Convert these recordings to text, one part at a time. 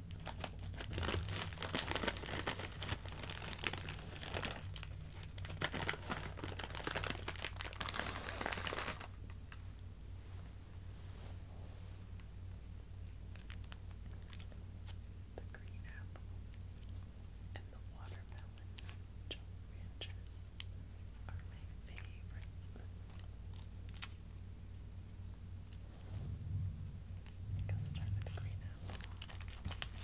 The green apple and the watermelon junk are my favorite. I'm gonna start with the green apple. Green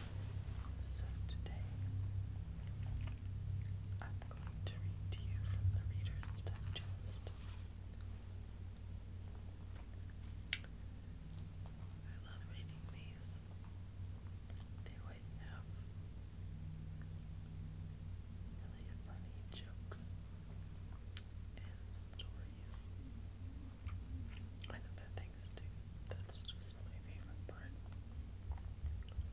So today, I'm going to read to you from the Reader's Digest. I love reading these. They always have really funny jokes and stories and other things too. That's just my favorite part.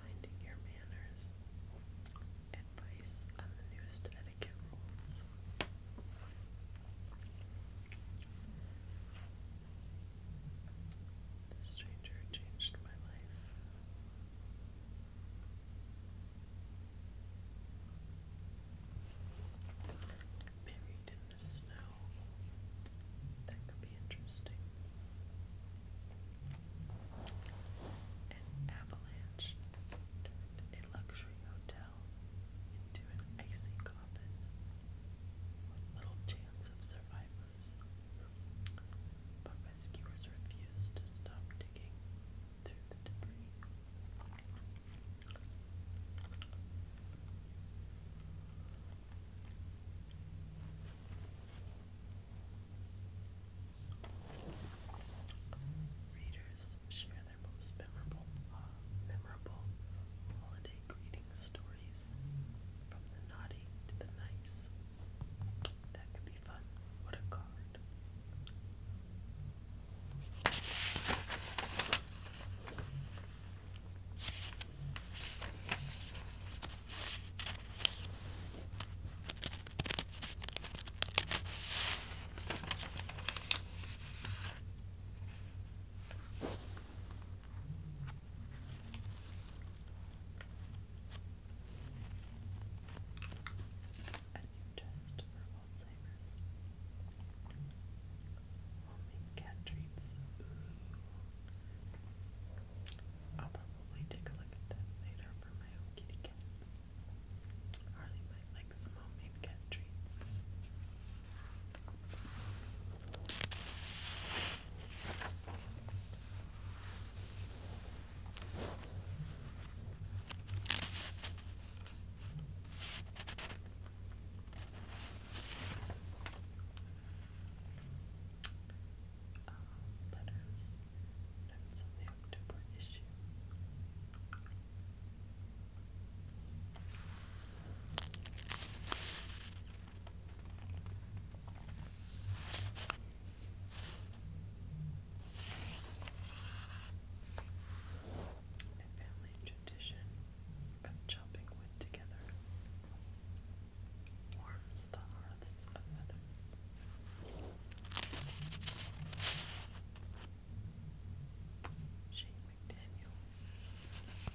Minding your manners. Advice on the newest etiquette rules. This stranger changed my life. Buried in the snow. That could be interesting. An avalanche a luxury hotel into an icy coffin with little chance of survival shallows. But rescuers refuse to stop digging through the debris. Readers share their most memorable, uh, memorable holiday greetings reading stories from the naughty to the nice. That could be fun. What a card. A new test for Alzheimer's. Homemade cat treats. I'll probably take a look at that later for my kitty cat. Harley might like some homemade cat treats. Um, letters, on the October issue. A family tradition of chopping wood together warms the hearths of others. Shane McDaniel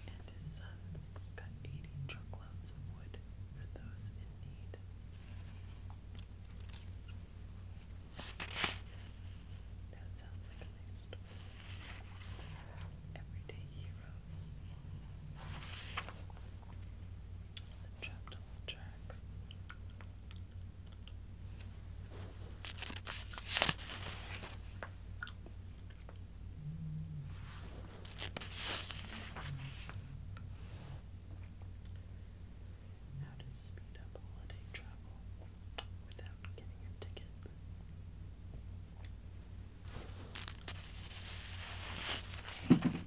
and his sons cut eighty truckloads of wood for those in need. That sounds like a nice story. Everyday heroes. trapped on the tracks. How to speed up holiday travel without getting a ticket. The heck that?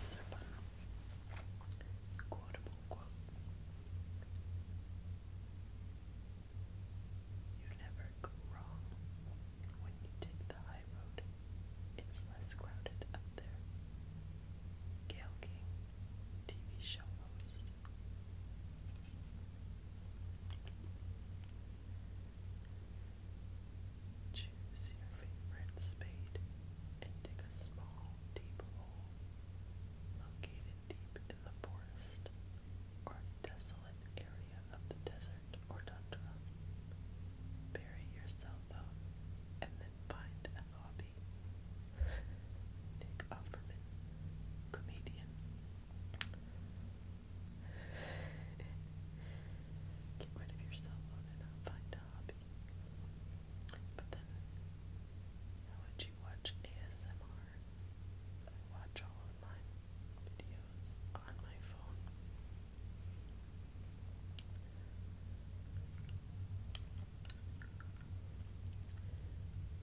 These are fun. Quotable quotes. You never go wrong when you take the high road. It's less crowded up there. Gail King, TV show host. Choose your favorite spade and dig a small, deep hole located deep in the forest or desolate area of the desert or tundra. Bury yourself up and then find a hobby. Nick Offerman, comedian, Get rid of your and find a hobby. But then, how would you watch ASMR? watch all of my videos on my phone.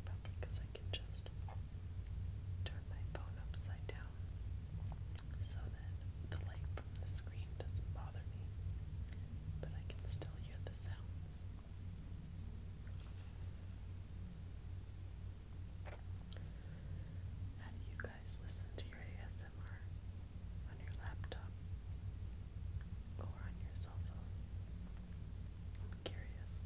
Probably because I can just turn my phone upside down so that the light from the screen doesn't bother me, but I can still hear the sounds. How you guys listen to your ASMR? On your laptop or on your cell phone? I'm curious.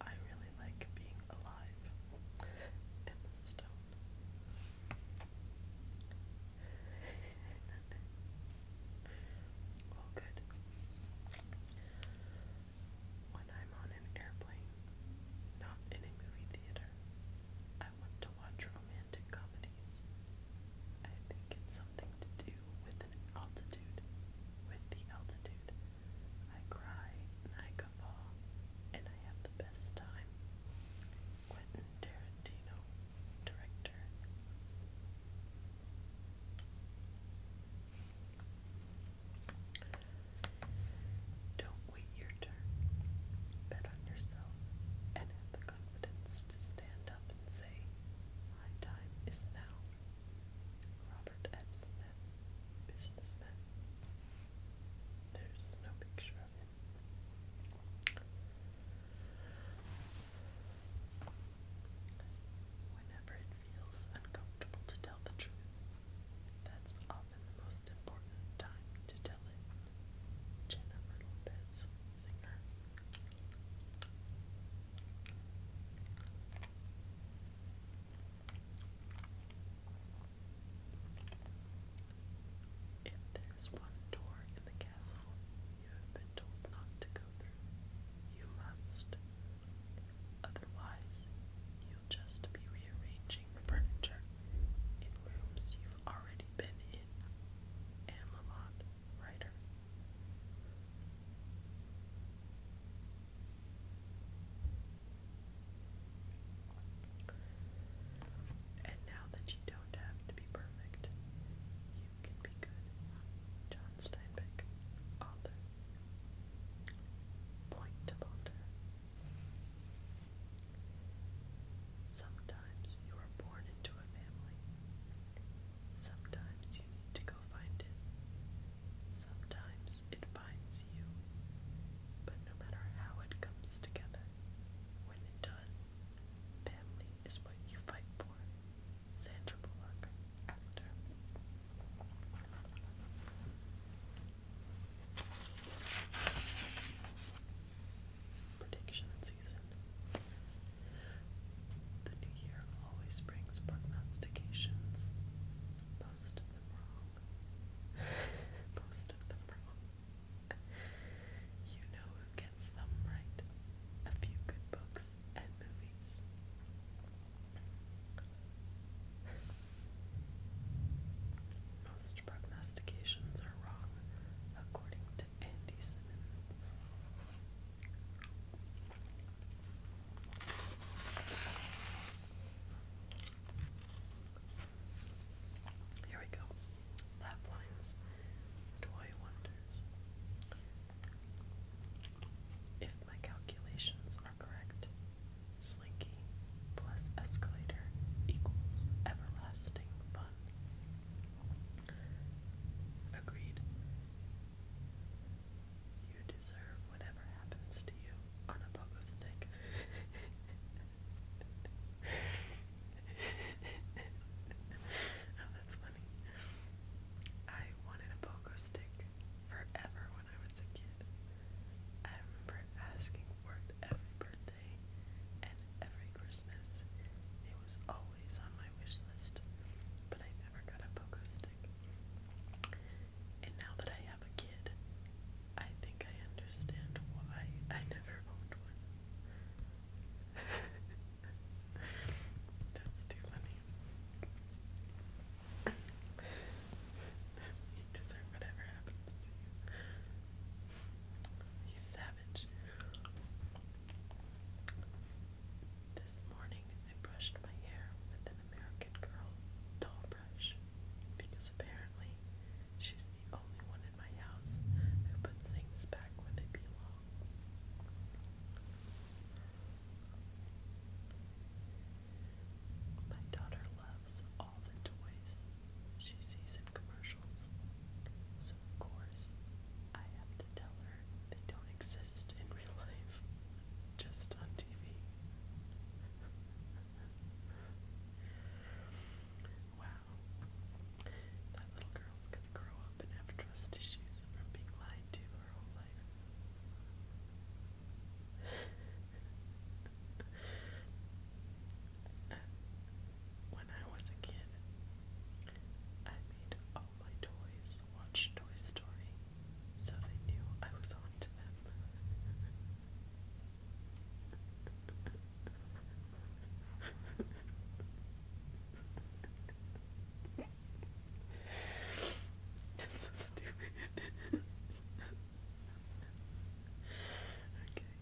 I really like being alive in the stone. well, good. When I'm on an airplane, not in a movie theater, I want to watch romantic comedy. I think it's something to do with an altitude. With the altitude. I cry and I guffaw and I have the best time. Quentin Tarantino, director. Don't wait your turn. Bet on yourself and have the confidence to stand up and say, My time is now. Robert F. businessman. There's no picture of him. Whenever it feels uncomfortable to tell the truth, that's often the most important time to tell it. Jennifer Lopez, singer. If there's one door in the castle you have been told not to go through, you must. Otherwise, you'll just be rearranging furniture in rooms you've already been in. Anne Lamott writer. And now that you don't have to be perfect, you can be good. John Steinbeck, author. Point to ponder. Someday Sometimes you are born into a family. Sometimes you need to go find it. Sometimes it finds you. But no matter how it comes together, when it does, family is what you fight for. Sandra Bullock, actor. Prediction season. The new year always brings prognostications. Most of them wrong. Most of them wrong. You know who gets them right. A few good books and movies. Most prognostications are wrong, according to. Here we go. Lap lines. Toy wonders. If my calculations are correct, Slinky plus escalator equals everlasting fun. Agreed. You deserve whatever happens to you on a pogo stick. oh, that's funny. I wanted a pogo stick forever when I was a kid. I remember asking for it every birthday, every Christmas. It was always on my wish list, but I never got a pogo stick. And now that I have a kid, I think I understand why I never owned one. That's too funny. you deserve whatever happens to you. He's savage. This morning I brushed my hair with an American Girl doll brush because apparently she's the only one in my house who puts things back where they belong. My daughter loves all the toys she sees in commercials. So, of course, I have to tell her they don't exist in real life, just on TV. wow. That little girl's gonna grow up and have trust issues from being lied to her whole life. when I was a kid, I made all my toys watch Toy Story so they knew I was on to them. That's so stupid. okay.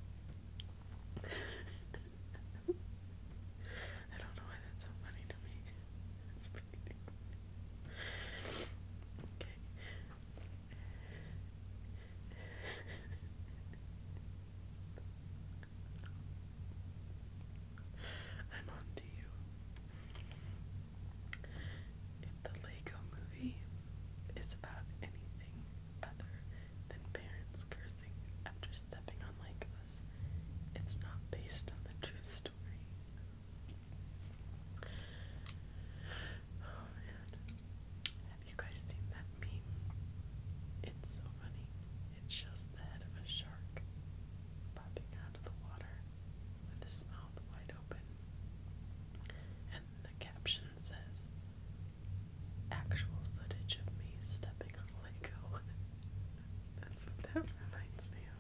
I don't know why that's so funny to me. It's pretty I'm on you. If the Lego movie is about anything other than parents cursing after stepping on Lycos. It's not based on a true story. Oh man. Have you guys seen that meme? It's so funny. It shows the head of a shark popping out of the water with his mouth wide open. And the caption says, actual footage of me stepping on Lego. That's what that reminds me of.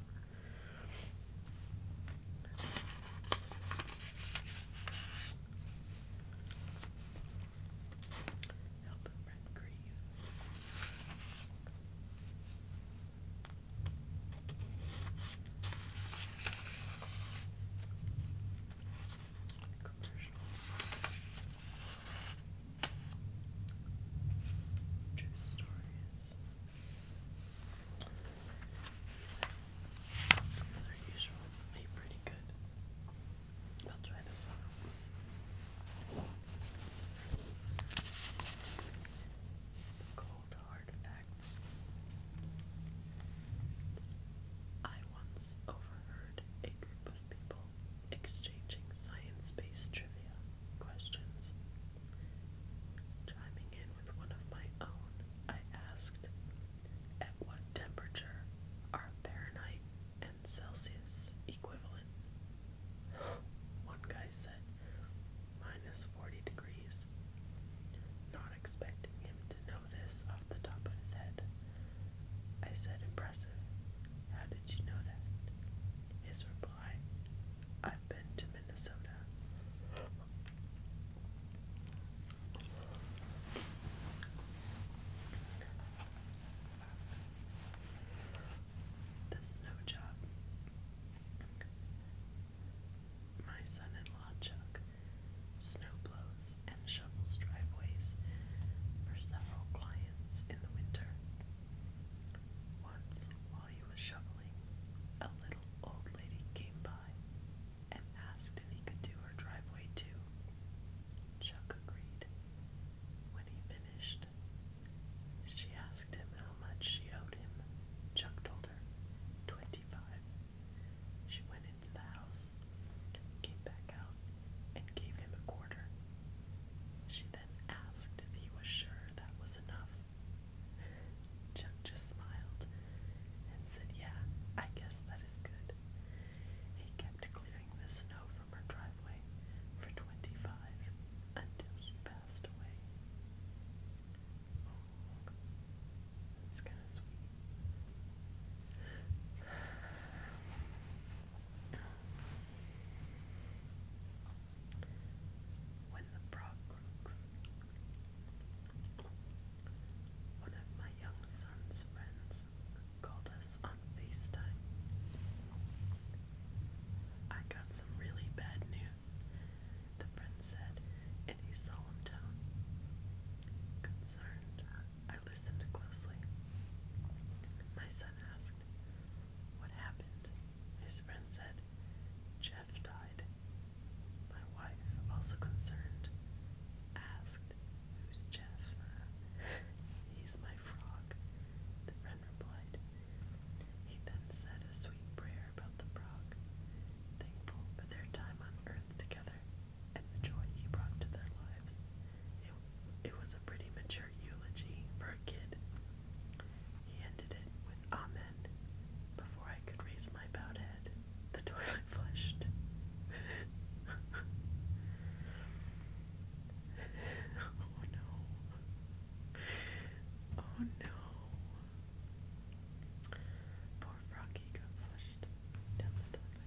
True stories. These are, these are pretty good. I'll try this one. cold hard I once overheard a group people exchanging science based trivia questions. Chiming in with one of my own, I asked, At what temperature are Fahrenheit and Celsius equivalent? one guy said, Minus 40 degrees. Not expecting him to know this off the top of his head. I said, Impressive. How did you know that? His reply, I've been to Minnesota. The snow job. My son in law, Chuck, snow blows and shovels driveways for several clients in the winter. Once, while he was shoveling, a little old lady came by and asked if he could do her driveway too. Chuck agreed. When he finished, she asked him how much she owed him. Chuck told her, 25. She went into the house came back out, and gave him a quarter. She then asked if he was sure that was enough. Chuck just smiled and said, Yeah, I guess that is good. He kept clearing the snow from her driveway for 25 until she passed away. Oh, kind of sweet. When the frog one of my young son's friends called us on FaceTime. I got some really bad news, the friend said in a solemn tone. Concerned I listened closely. My son asked, What happened? His friend said, Jeff died. My wife, also concerned, asked, Who's Jeff? He's my frog, the friend replied. He then said a sweet prayer about the frog, thankful for their time on earth together and the joy he brought to their lives. It, it was a pretty mature eulogy for a kid. He ended it with Amen. Before I could raise my bowed head, the toilet flushed. oh no. Oh no. Poor Froggy got flushed down the toilet.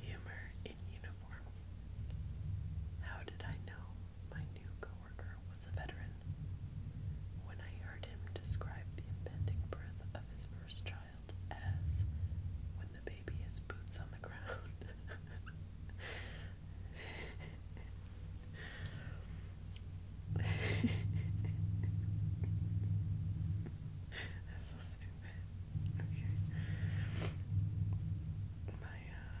Humor in uniform. How did I know my new coworker was a veteran? When I heard him describe the impending birth of his first child as when the baby has boots on the ground. That's so stupid okay. My uh,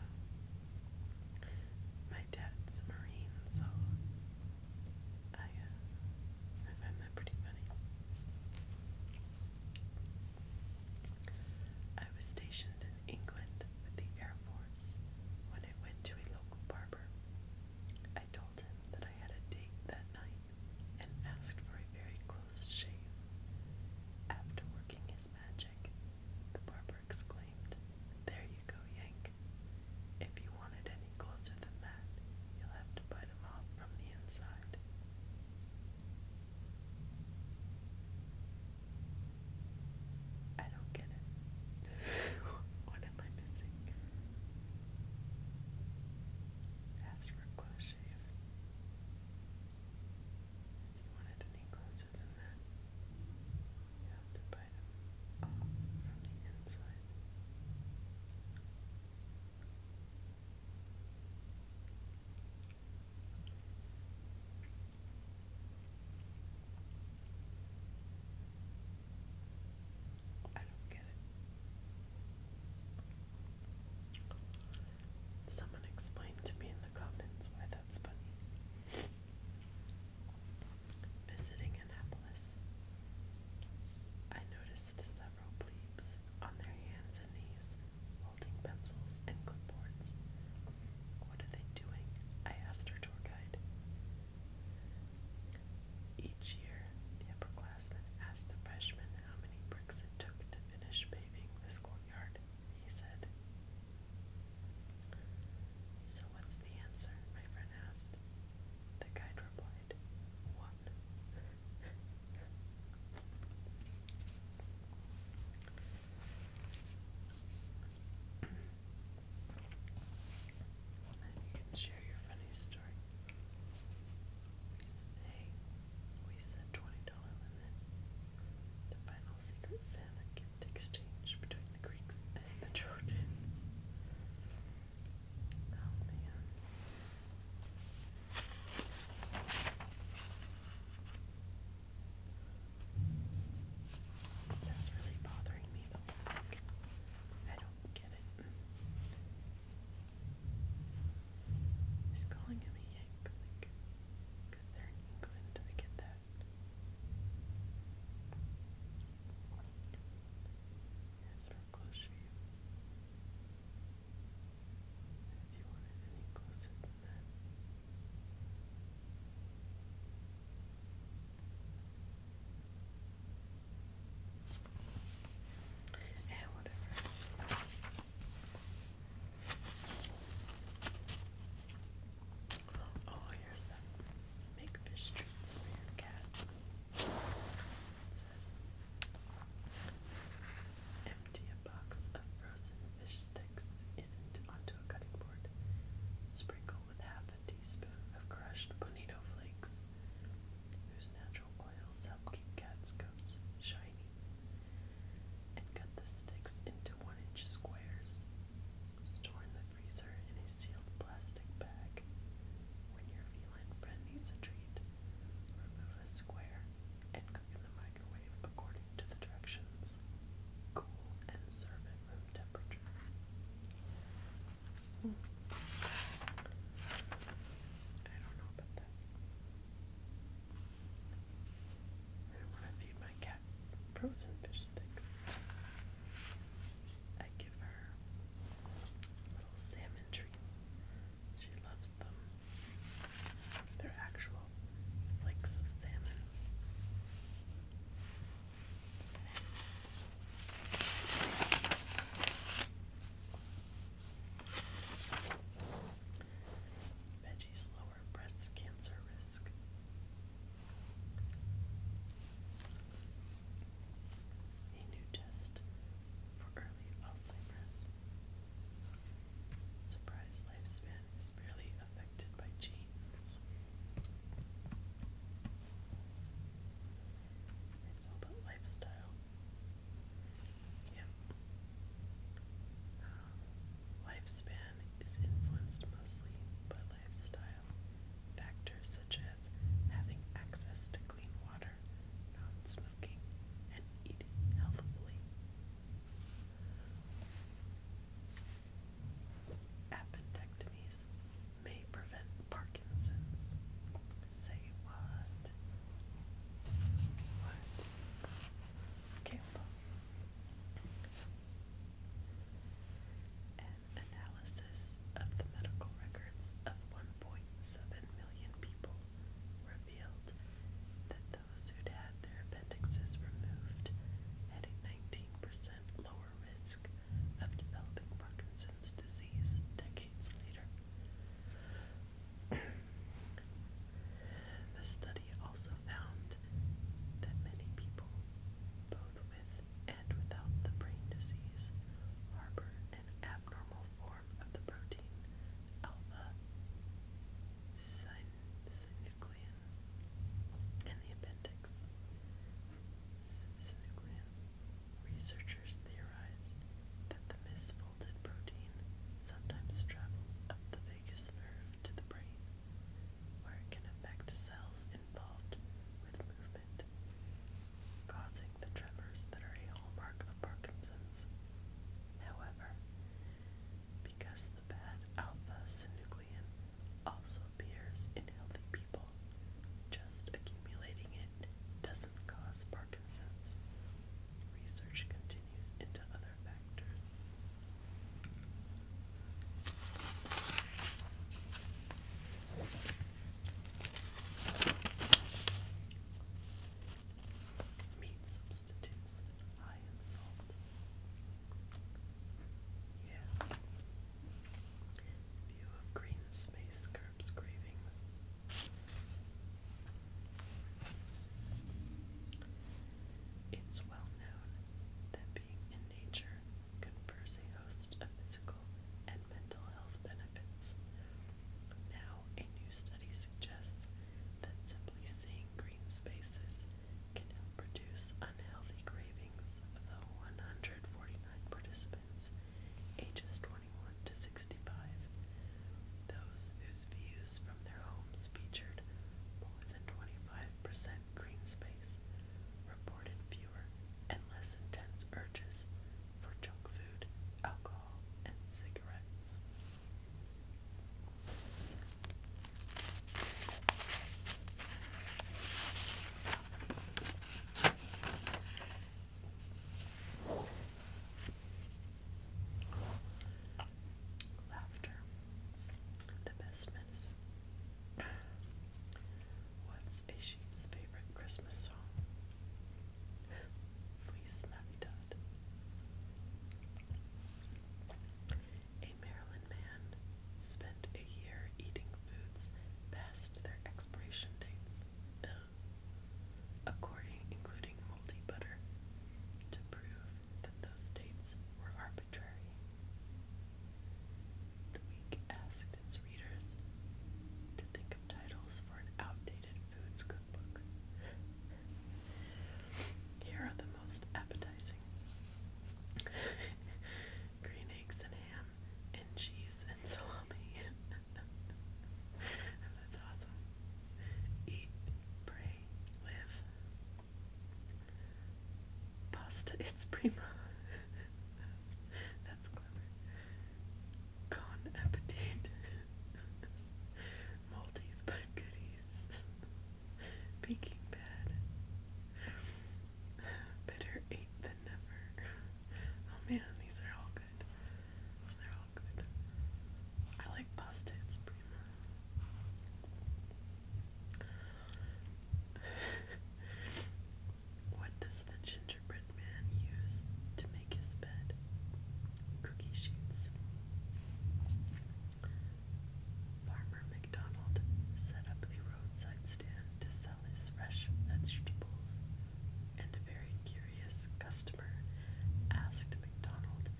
my dad's marine, so I uh, I find that pretty funny. I was stationed in England with the Air Force when I went to a local barber. I told him that I had a date that night and asked for a very close shave. After working his magic, the barber exclaimed, There you go, Yank. If you wanted any closer than that, you'll have to bite off from the inside. I don't get it. what am I missing? Asked for close shave. If you want any closer than that, you have to bite them off from the inside. I don't get it. Someone explain to me in the comments why that's funny. Visiting Annapolis, I noticed several plebes on their hands and knees holding pencils and clipboards. What are they doing? I asked our tour guide. Each year, the upperclassmen ask the freshmen how many bricks it took to finish paving this courtyard, he said. So, what's the answer? my friend asked. The guide replied, One. and you can share your funny stories. Jordan. We said, $20 limit. The final secret Santa gift exchange between the Greeks and the Trojans. Oh, That's really bothering me though. I don't get it. He's calling him a Yank, because they're in England, I get that. It's for close shave. you want any closer than that and whatever. Oh, here's that. Make fish treats for your cat. empty a box of frozen fish sticks into, onto a cutting board. Sprinkle with half a teaspoon of crushed bonito flakes, whose natural oils help keep cats' coats shiny. cut the sticks into one inch squares. Store in the freezer in a sealed plastic bag. When your feline friend needs a treat, remove a square and cook in the microwave according to the directions. Cool and serve at room temperature. Hmm. I don't know about I feed my cat frozen fish sticks. I give her little salmon treats. She loves them. They're actual flakes of salmon. Veggies lower breast cancer risk. A new test for early Alzheimer's. Surprise lifespan is barely affected by genes. It's all about lifestyle. Yep. Um, lifespan is influenced mostly by lifestyle factors such as having access to clean water, non-smoking, and eating healthfully. Appendectomies may prevent Parkinson's. Say what? Okay. An analysis of the medical records of 1.7 million people revealed that those who had their appendixes removed had a 19% lower risk of developing Parkinson's disease decades later. The study also found that many people, both with and without the brain disease, harbor an abnormal form of the protein alpha synuclein in the appendix. Synuclein. Researchers theorize that the misfolded protein sometimes travels up the vagus nerve to the brain, where it can affect cells involved with movement, causing the tremors that are a hallmark of Parkinson's. However, because the bad alpha synuclein also appears in healthy people, just accumulating it doesn't cause Parkinson's. Research continues into other factors. Meat substitutes high in salt. Yeah. View of green space curbs cravings. It's well known that being in nature confers a host of physical and mental health benefits. Now, a new study suggests that simply seeing green spaces can help reduce unhealthy cravings, though 149 participants ages 20 41 to 65. Those whose views from their homes featured more than 25% green space reported fewer and less intense urges for junk food, alcohol, and cigarettes. Laughter, the best medicine. What's a sheep's favorite Christmas song? Please, Navidad. A Maryland man spent a year eating foods past their expiration dates according including moldy butter, to prove that those dates were arbitrary. The week asked its readers to think of titles for an outdated foods cookbook. Here are the most appetizing green eggs and ham and cheese salami. That's awesome. Eat, pray, live. Pasta, it's prima. That's clever. Con appetit. Maltese but goodies. Baking bad. Better eight than never. Oh man, these are all good good. I like pasta and Prima. what does the gingerbread man use to make his bed? Cookie sheets. Farmer McDonald set up a roadside stand to sell his fresh vegetables, and a very curious customer asked MacDonald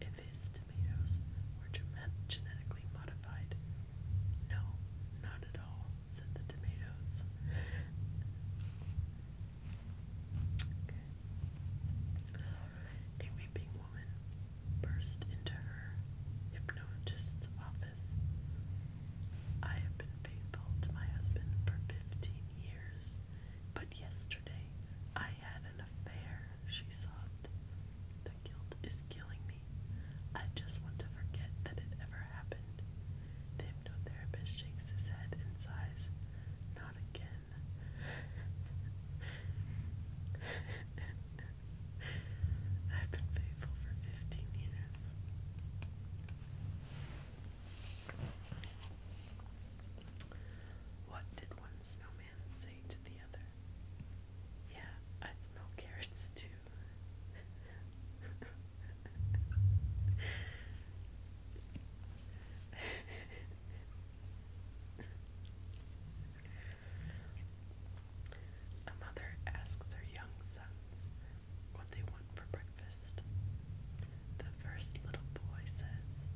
if his tomatoes were genetically modified. No, not at all, said the tomatoes. A weeping woman burst into her hypnotist's office. I have been faithful to my husband for fifteen years, but yesterday I had an affair, she sobbed. The guilt is killing me. I just want to forget that it ever happened. The hypnotherapist shakes his head and sighs. Not again. I've been faithful for 15 years. What did one snowman say to the other? Yeah, I smell carrots too. A mother asks her young sons, what they want for breakfast. The first little boy says,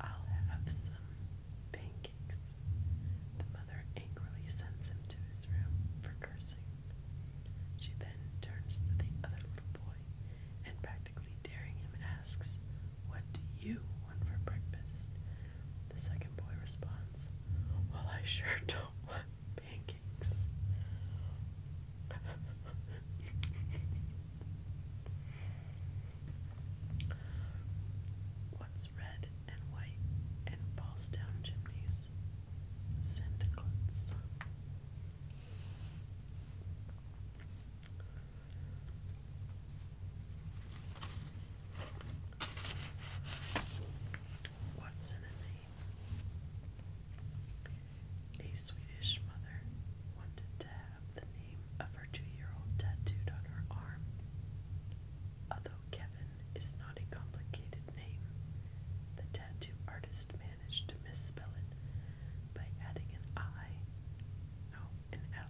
I'll have some pancakes. The mother angrily sends him to his room for cursing. She then turns to the other little boy and practically daring him asks, What do you want for breakfast? The second boy responds, Well, I sure don't want pancakes. What's red and white and falls down chimneys? Sandclets. What's in a name? A Swedish mother wanted to have the name of her two year old tattooed on her arm. Although Kevin is not a complicated name, the tattoo artist managed to misspell it by adding an I, no, an L,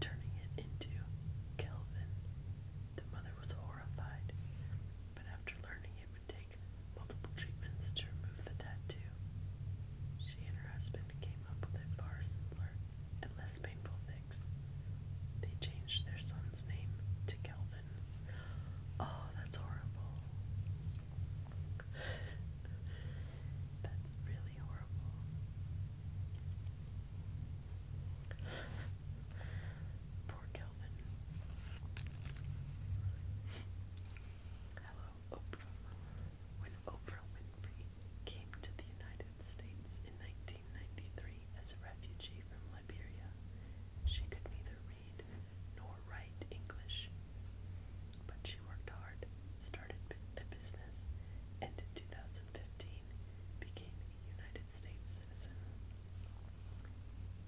turning it into Kelvin. The mother was horrified, but after learning it would take multiple treatments to remove the tattoo. She and her husband came up with a far simpler and less painful fix. They changed their son's name to Kelvin. Oh, that's horrible. that's really horrible. Poor Kelvin. Hello, Oprah. When Oprah Winfrey came to the United States in 1993 as a refugee from Liberia, she could neither read nor write English. But she worked hard, started a business, and in 2015 became a United States citizen.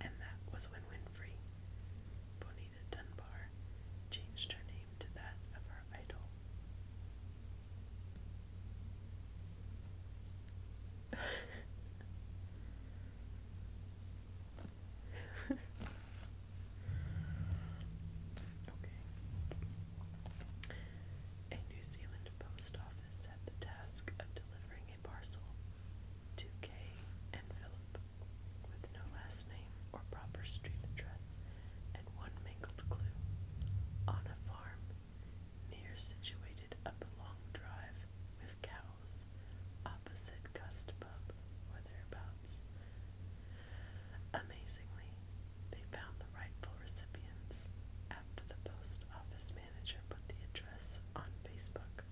And that was when Winfrey, Dunbar changed her name to that of her idol. A New Zealand post office had the task of delivering a parcel Two K and Philip, with no last name or proper street address, and one mangled clue, on a farm near situated up a long drive with cows, opposite Gust Pub or thereabouts. Amazingly, they found the rightful recipients after the post office manager put the address on Facebook.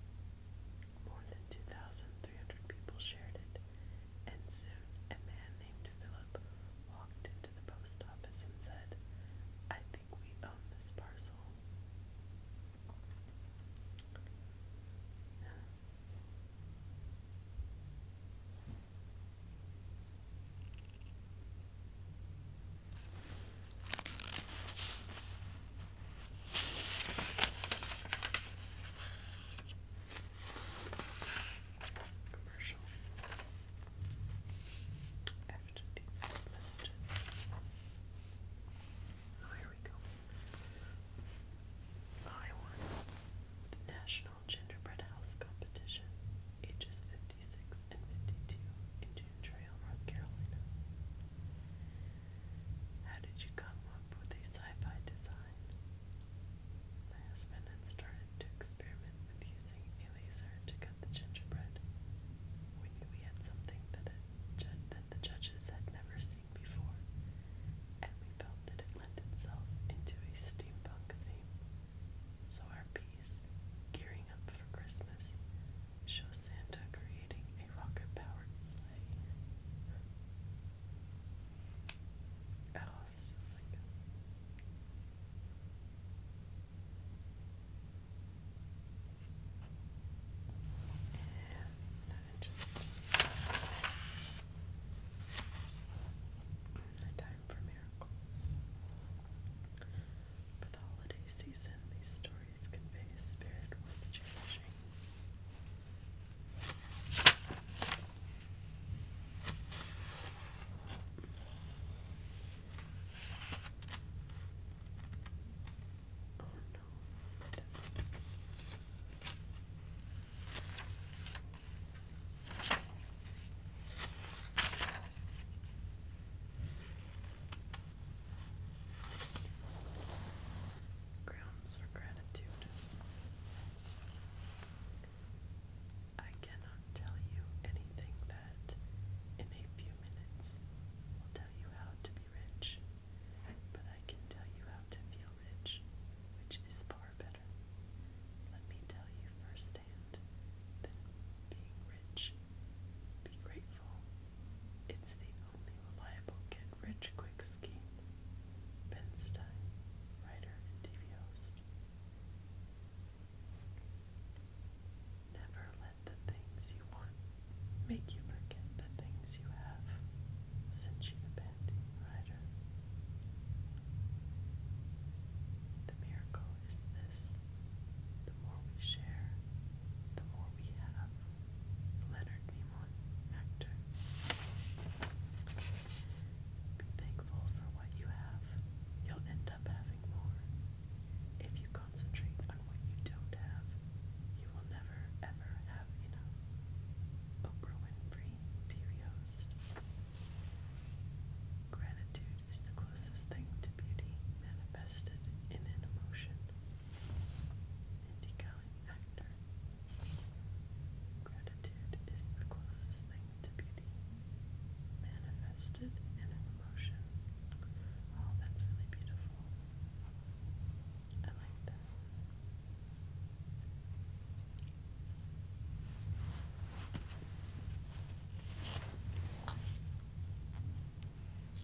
More than 2,300 people shared it, and soon a man named Philip walked into the post office and said, I think we own this parcel. After these messages. Oh, here we go. I won the National Gingerbread House Competition, ages 56 and 52, in Trail, North Carolina. How did you come up with a sci fi design? My husband started to experiment with using a laser to cut the gingerbread. We knew we had something that the judges had never seen before, and we felt that it lent itself into a steampunk theme. So our piece, Gearing Up for Christmas, shows Santa creating creating a rocket-powered sleigh. Oh, this is like... time for miracles. For the holiday season, these stories Please convey his spirit worth cherishing. Oh no. Grounds for gratitude. I cannot tell you anything that, in a few minutes, will tell you how to be rich, but I can tell you how to feel rich, which is far better. Let me tell you firsthand that being rich, be grateful. It's the only reliable get rich quick scheme. Ben Stein, writer and TV host. Never let the things you want make you forget the things you have. Cinchita Bandy, writer. The miracle is this the more we share, the more we have. Leonard Nimoy, actor. Be thankful for what you have. You'll end up having more. If you concentrate on what you don't have, you will never ever have enough. Oprah Winfrey, TV host. Gratitude is the closest thing to beauty manifested in an emotion. Andy Cohen, actor. Gratitude is the closest thing to beauty, manifested in an emotion. Oh, that's really beautiful. I like that.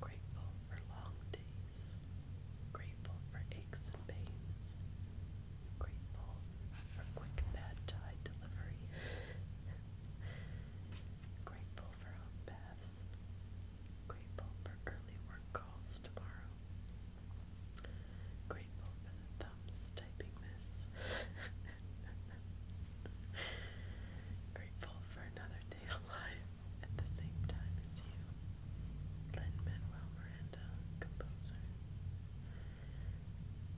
Grateful for long days, grateful for aches and pains, grateful for quick bad tide delivery, grateful for hot baths, Grateful for early work calls tomorrow. Grateful for the thumbs typing this. Grateful for another day alive at the same time as you. Lynn Manuel Miranda, composer.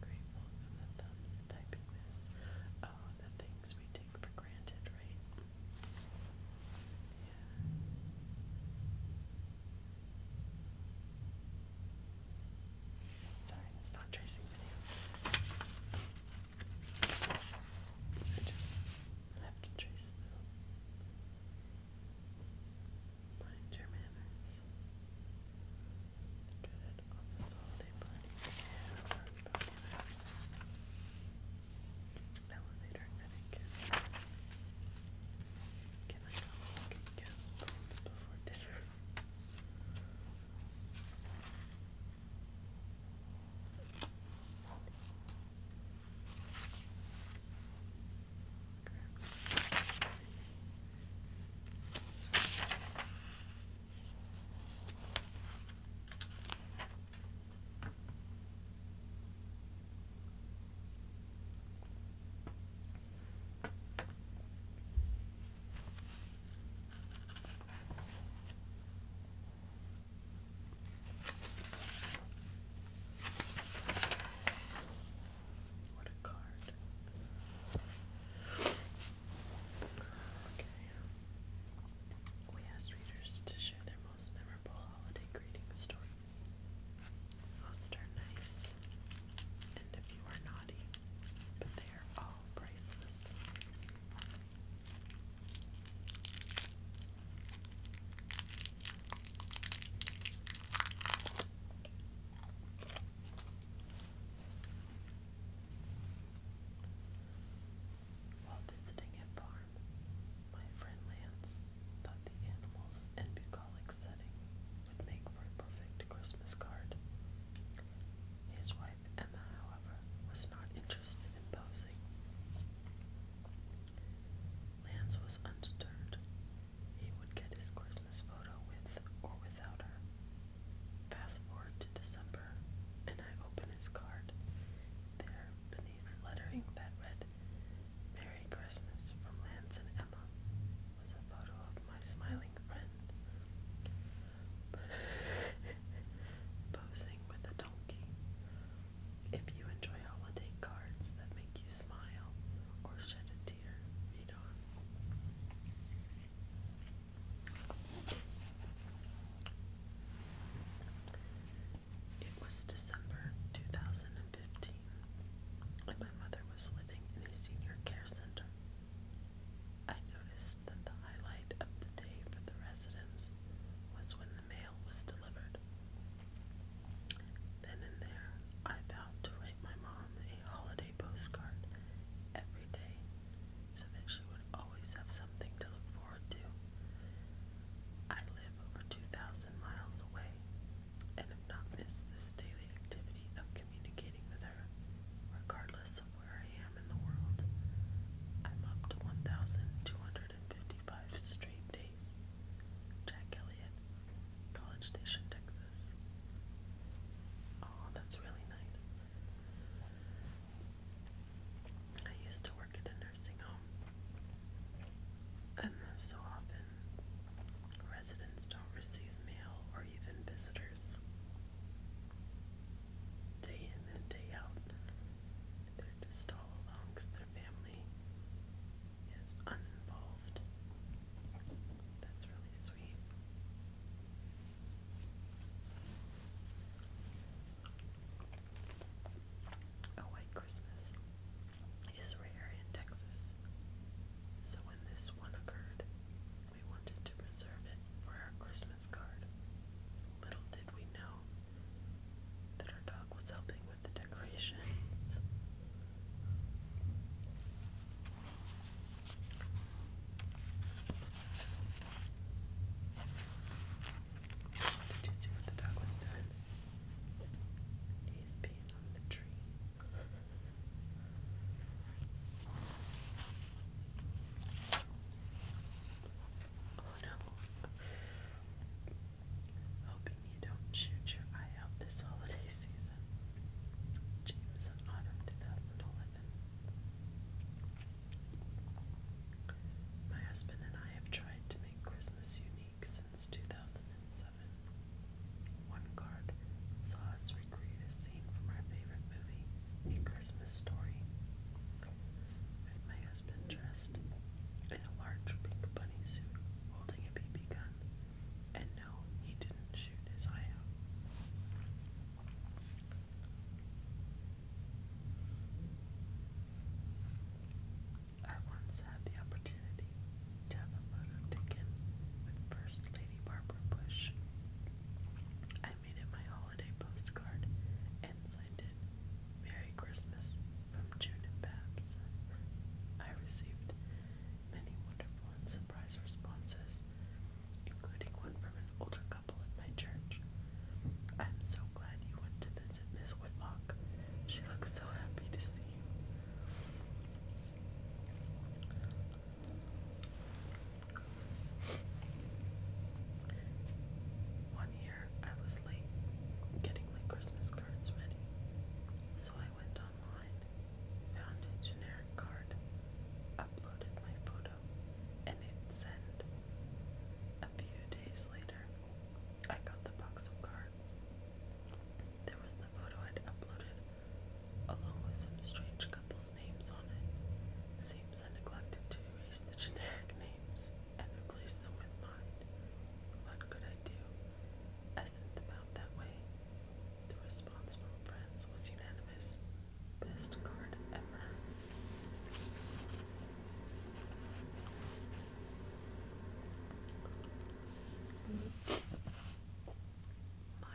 Grateful for the thumbs typing this. Oh, the things we take for granted, right? Sorry, that's not tracing video. I just have to trace them. Mind your manners. Good holiday party. Elevator etiquette. Can I always get guest spoons before dinner? Okay. What a card. Okay. We asked readers to share their most memorable holiday greeting stories. Most are nice, and a few are naughty, but they are all priceless. While visiting a farm, my friend Lance thought the animals and bucolic setting would make for a perfect Christmas card. His wife, Emma, however, was not interested in posing. Lance was undeterred. He would get his Christmas photo with or without her. Fast forward to December, and I open his card. There have lettering that read, Merry Christmas from Lance and Emma, was a photo of my smiling friend posing with a donkey. If you enjoy holiday cards that make you smile or shed a tear, read on. It was December 2015, and my mother was living in a senior care center. I noticed that the highlight of the day for the residents was when the mail was delivered. Then there, I vowed to write my mom a holiday postcard every day so that she would always have something to look for. I live over 2,000 miles away and have not missed this daily activity of communicating with her, regardless of where I am in the world. I'm up to 1,255 straight days. Jack Elliott, College Station, Texas. Oh, that's really nice. I used to work at a nursing home, and so often residents don't receive mail or even visitors. Day in and day out, they're just all alone because their family is uninvolved. That's really sweet. A white Christmas is rare in Texas, so when this one occurred, we wanted to preserve it for our Christmas card. Little did we know that our dog was helping with the decorations. Did you see what the dog was doing? He's peeing on the tree. Oh no. Hoping you don't shoot your eye out this holiday season. James in 2011. My husband and I have tried to make Christmas unique since 2007. One card saw us recreate a scene from our favorite movie, A Christmas Story, with my husband dressed in a large pink bunny suit holding a BB gun. And no, he didn't shoot his eye out. I once had the opportunity to have a photo taken with First Lady Barbara Bush. I made it my holiday postcard and signed it Merry Christmas from June I received many wonderful and surprise responses, including one from an older couple in my church. I'm so glad you went to visit. Miss Whitlock. She looks so happy to see you. One year I was late getting my Christmas cards ready, so I went online, found a generic card, uploaded my photo, and hit send. A few days later, I got the box of cards. There was the photo I'd uploaded, along with some strange couples' names on it. Seems I neglected to erase the generic names and replace them with mine. What could I do? I sent them out that way. The response from friends was unanimous. Best card ever. My 11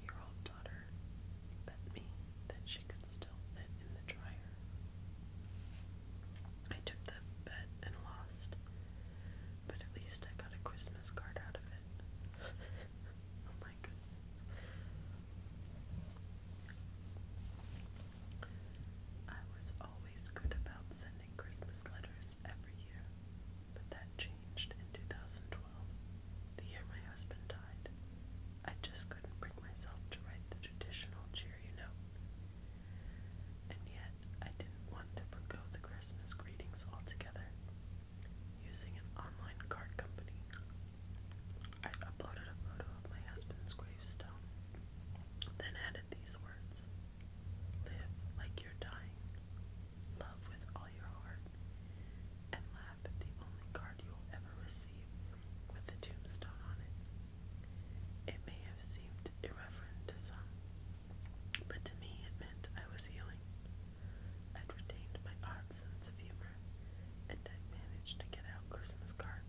year old daughter bet me that she could still fit in the dryer. I took the bet and lost, but at least I got a Christmas card out of it. oh my goodness. I was always good about sending Christmas letters every year, but that changed in 2012, the year my husband died. I just couldn't bring myself to write the traditional cheery note. And yet, I didn't want to forgo the Christmas greetings altogether. Using an online card company, I uploaded a photo of my husband's gravestone then added these words Live like you're dying, love with all your heart, and laugh at the only card you ever receive with a tombstone on it. It may have seemed irreverent to some, but to me it meant I was healing. I'd retained my odd sense of humor, and i managed to get out Christmas cards.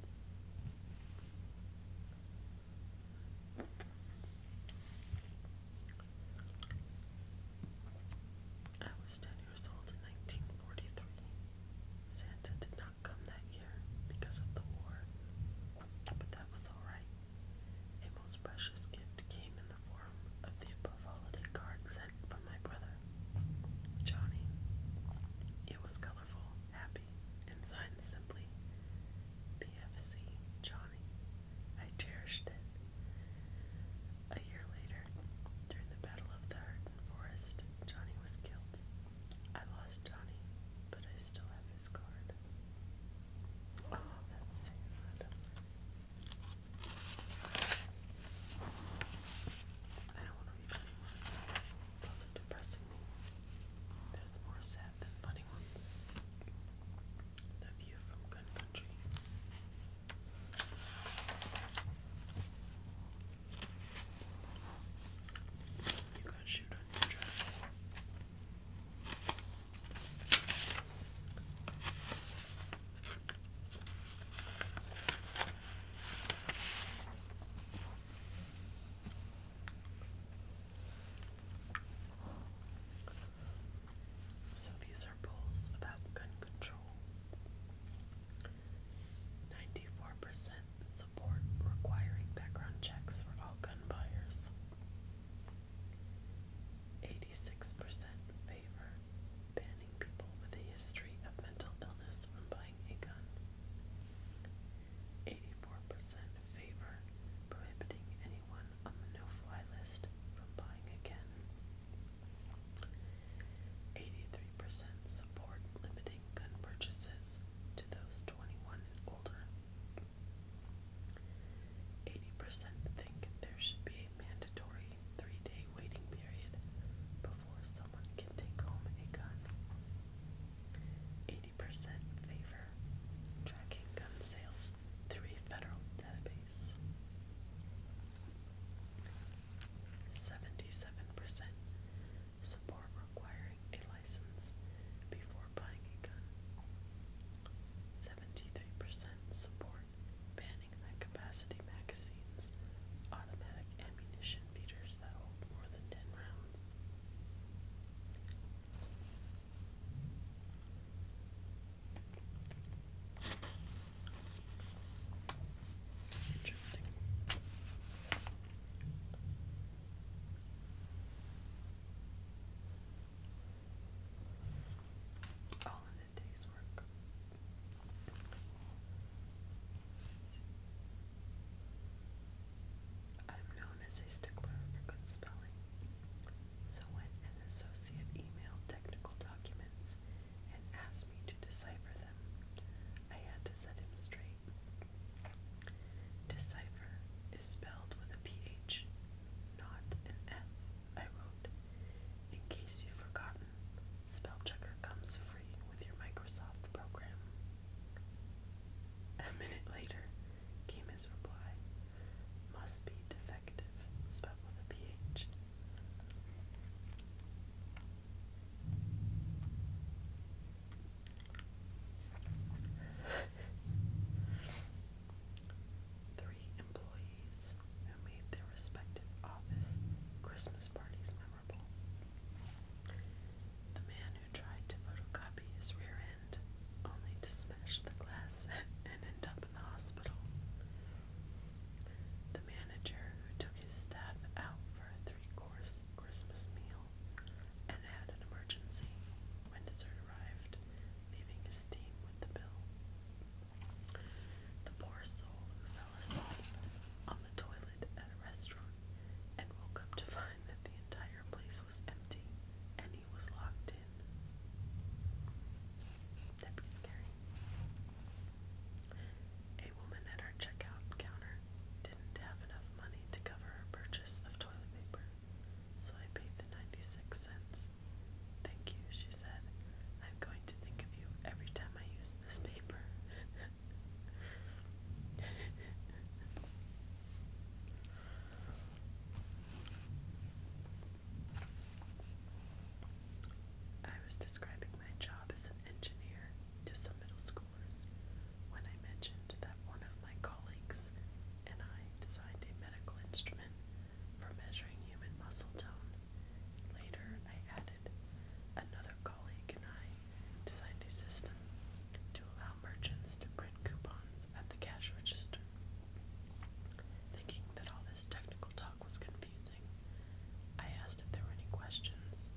I was 10 years old in 1943. Santa did not come that year because of the war, but that was alright. A most precious gift came in the form of the above holiday card sent from my brother, Johnny. It was colored colorful, happy, and signed simply PFC Johnny. I cherished it. A year later, during the Battle of the Hurton Forest, Johnny was killed. I lost Johnny, but I still have his card. Oh, that's sad. I don't want to read anymore. Those are depressing. There's more sad than funny ones. The view from Gun Country. You got to shoot on your dress. So these are polls about gun control. 94% support requiring background checks for all gun buyers. 86% favor banning people with a history of mental illness from buying handling a gun. 84% favor prohibiting anyone on the no-fly list from buying again. 83% support limiting gun purchases to those 21 and older. 80% think there should be a mandatory three day waiting period before someone can take home a gun. 80% favor tracking gun sales through a federal database. 77% support requiring a license before buying a gun. 73% support banning high capacity magazines, automatic ammunition meters that hold more than 10 rounds. Interesting. All in a day's work. I'm known as a stickler for good spelling, so when an associate emailed technical documents and asked me to decipher them, I had to set him straight. Decipher is spelled with a not an F, I wrote. In case you've forgotten, spell comes free with your Microsoft program. A minute later came his reply. Must be defective, spelled with a PH. Three employees who made their respective office Christmas parties memorable. The man who tried to photocopy his rear end, only to smash the glass and end up in the hospital. The manager who took his staff out for a three course Christmas meal and had an emergency when dessert arrived, leaving his team with the bill. The poor soul who fell asleep on the toilet restaurant and woke up to find that the entire place was empty and he was locked in. That'd be scary. A woman at our checkout counter didn't have enough money to cover her purchase of toilet paper, so I paid the 96 cents. Thank you, she said. I'm going to think of you every time I use this paper. I was describing my job as an engineer to some middle schoolers when I mentioned that one of my colleagues and I designed a medical instrument for measuring human muscle tone. Later, I added added. Another colleague and I designed a system to allow merchants to print coupons at the cash register. Thinking that all this technical talk was confusing, I asked if there were any questions.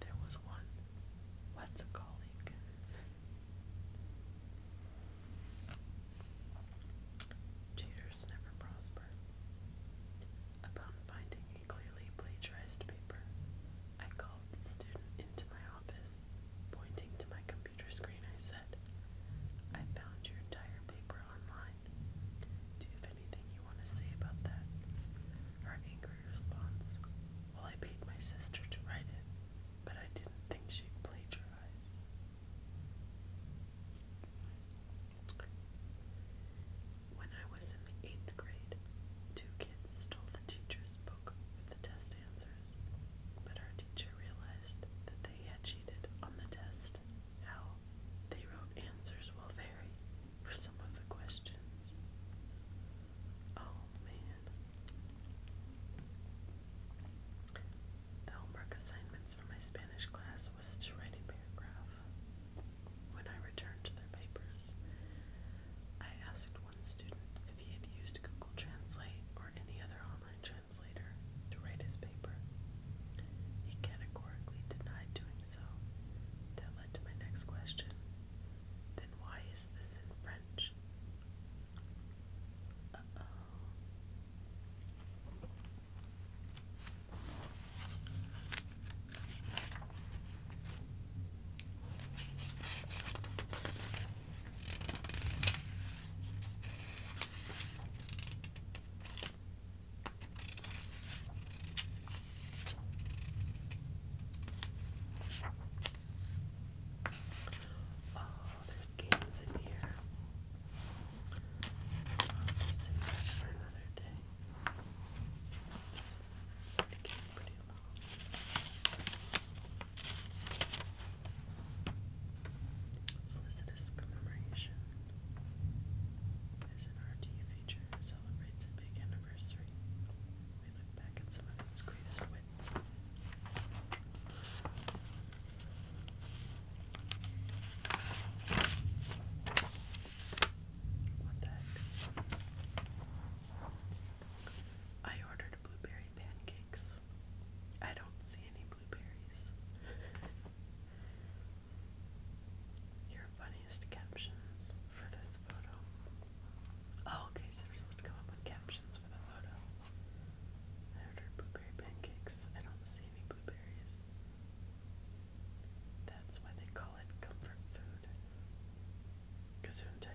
There was one. What's a colleague? Cheaters never prosper. Upon finding clearly plagiarized paper. I called the student into my office. Pointing to my computer screen, I said, I found your entire paper online. Do you have anything you want to say about that? Her angry response, Well, I paid my sister to write it, but I didn't think she plagiarized." When I was in the eighth grade, two kids stole the teacher's book with the test answers, but our teacher realized that they had cheated on the test. How they wrote answers will vary for some of the questions. Oh man. The homework assignments for my Spanish class was to write a paragraph. When I returned to their papers, I asked one student if he had used Google Translate or any other online translator to write his paper. He categorically denied doing so. That led to my next question. Then why is this in French? Oh, there's games in here. save that for another day. So it commemoration is an RT feature celebrates a big anniversary. We look back at some of its greatest wits. I ordered blueberry pancakes. I don't see any blueberries. Your funniest captions for this photo. Oh, okay, so we're supposed to come up with captions for the photo. I ordered blueberry pancakes. I don't see any blueberries. That's why they call it comfort food. Kazoon tape.